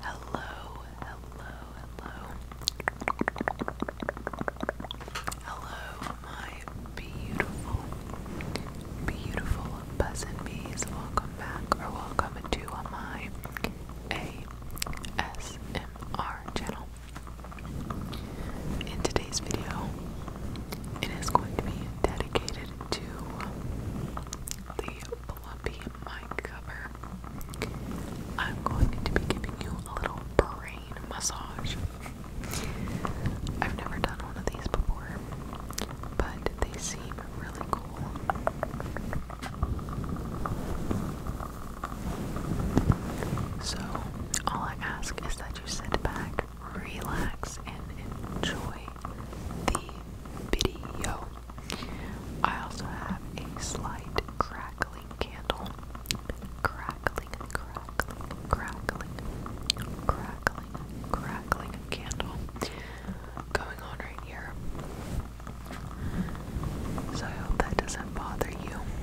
Hello, hello, hello. Hello, my beautiful, beautiful peasant bees. Welcome back or welcome to my ASMR channel. In today's video, it is going to be dedicated to the Fluffy mic cover. I'm going to be giving you a little brain massage. I've never done one of these before, but they seem really cool. So, all I ask is that you sit back, relax and enjoy the video. I also have a slight crackling candle. Crackling, crackling, crackling, crackling, crackling candle going on right here. So I hope that doesn't bother you.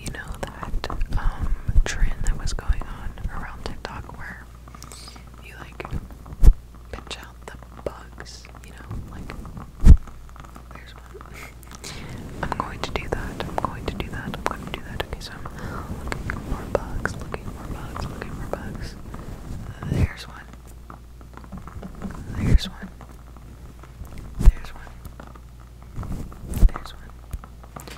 you know that um, trend that was going on around TikTok where you like pinch out the bugs, you know, like there's one. I'm going to do that. I'm going to do that. I'm going to do that. Okay, so I'm looking for bugs, looking for bugs, looking for bugs. There's one. There's one. There's one. There's one.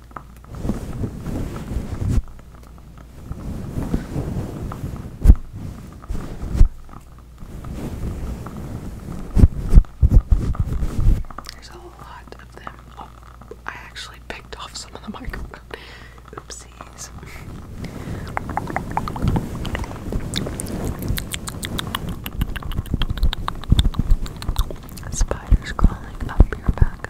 There's a lot of them. Oh, I actually picked off some of the microphone. Oopsies. Spiders crawling up your back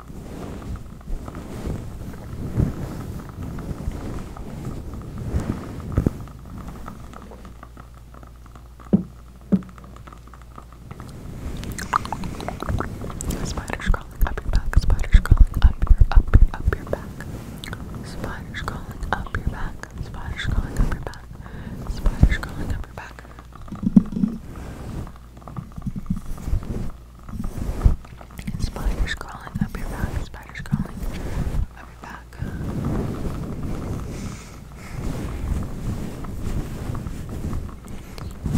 Spiders crawling up your back, spiders crawling up your up your up your back. Spiders crawling up your back, spiders crawling up your back, spiders crawling up your back. Spiders crawling up your back, spiders crawling up your back.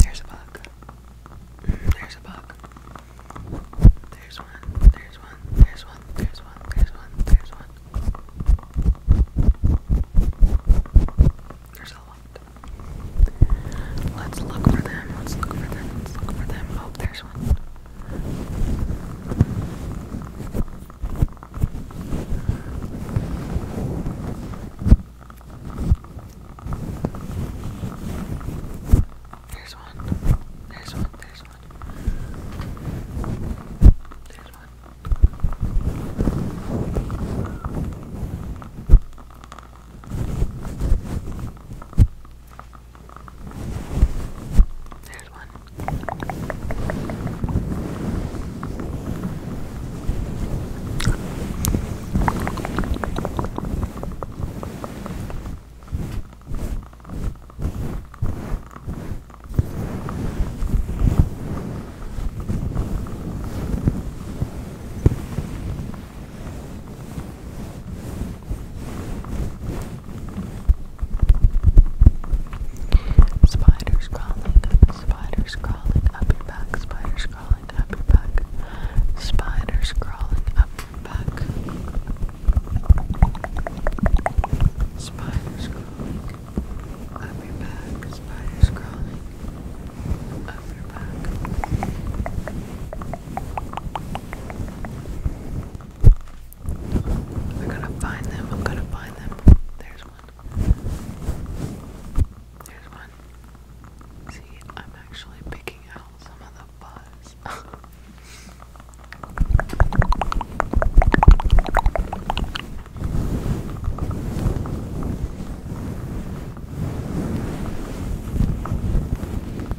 There's a bug. There's a bug. There's one, there's one, there's one, there's one, there's one, there's one. There's a lot. Let's look for them. Let's look for them. Let's look for them. Oh, there's one. There's one. There's one. There's one. There's one. There's one. Spiders crawling, spiders crawling up your back, spiders crawling up your back, spiders crawling up your back, spiders crawling up your back, spiders crawling up your back. I'm gonna find them. I'm gonna find them. There's one. There's one. See, I'm actually picking out some of the buzz.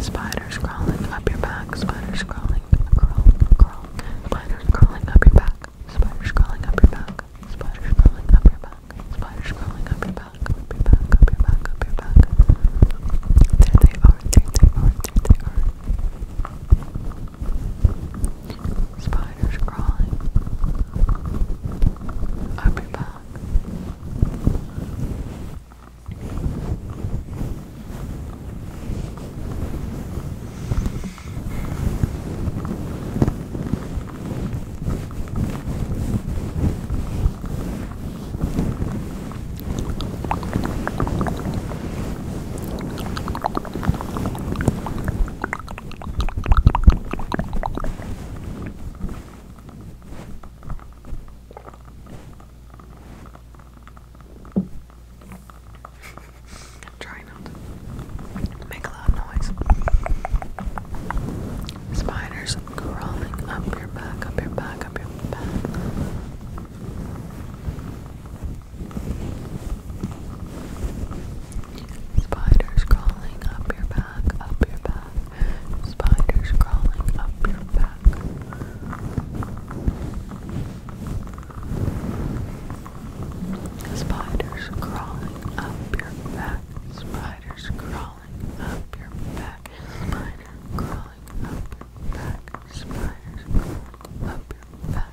Spiders crawling up your back, spiders crawling, crawl, crawl, spiders crawling up your back, spiders crawling up your back, spiders crawling up your back, spiders crawling up your back, up your back, up your back, up your back. There they are, there they are, there they are. Spiders crawling up your back. I'm not make a loud noise. Spiders crawling up your back, up your back, up your back. Spiders crawling up your back, up your back. Spiders crawling up your back. Spiders crawling up your back. Spiders crawling up your back. Spider crawling up your back. Spiders up your back.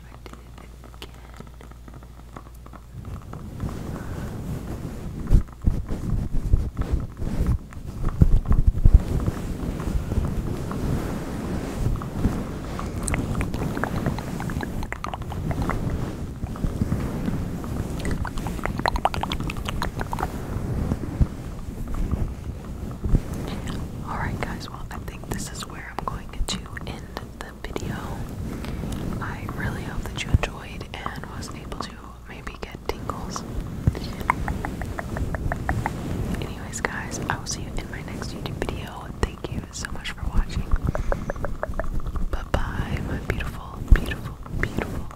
Alright, guys, well, I think this is where. I'm going to end the video. I really hope that you enjoyed and was able to maybe get tingles. Anyways, guys, I will see you in my next YouTube video. Thank you so much for watching. Bye bye, my beautiful, beautiful, beautiful,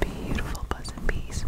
beautiful, pleasant bees.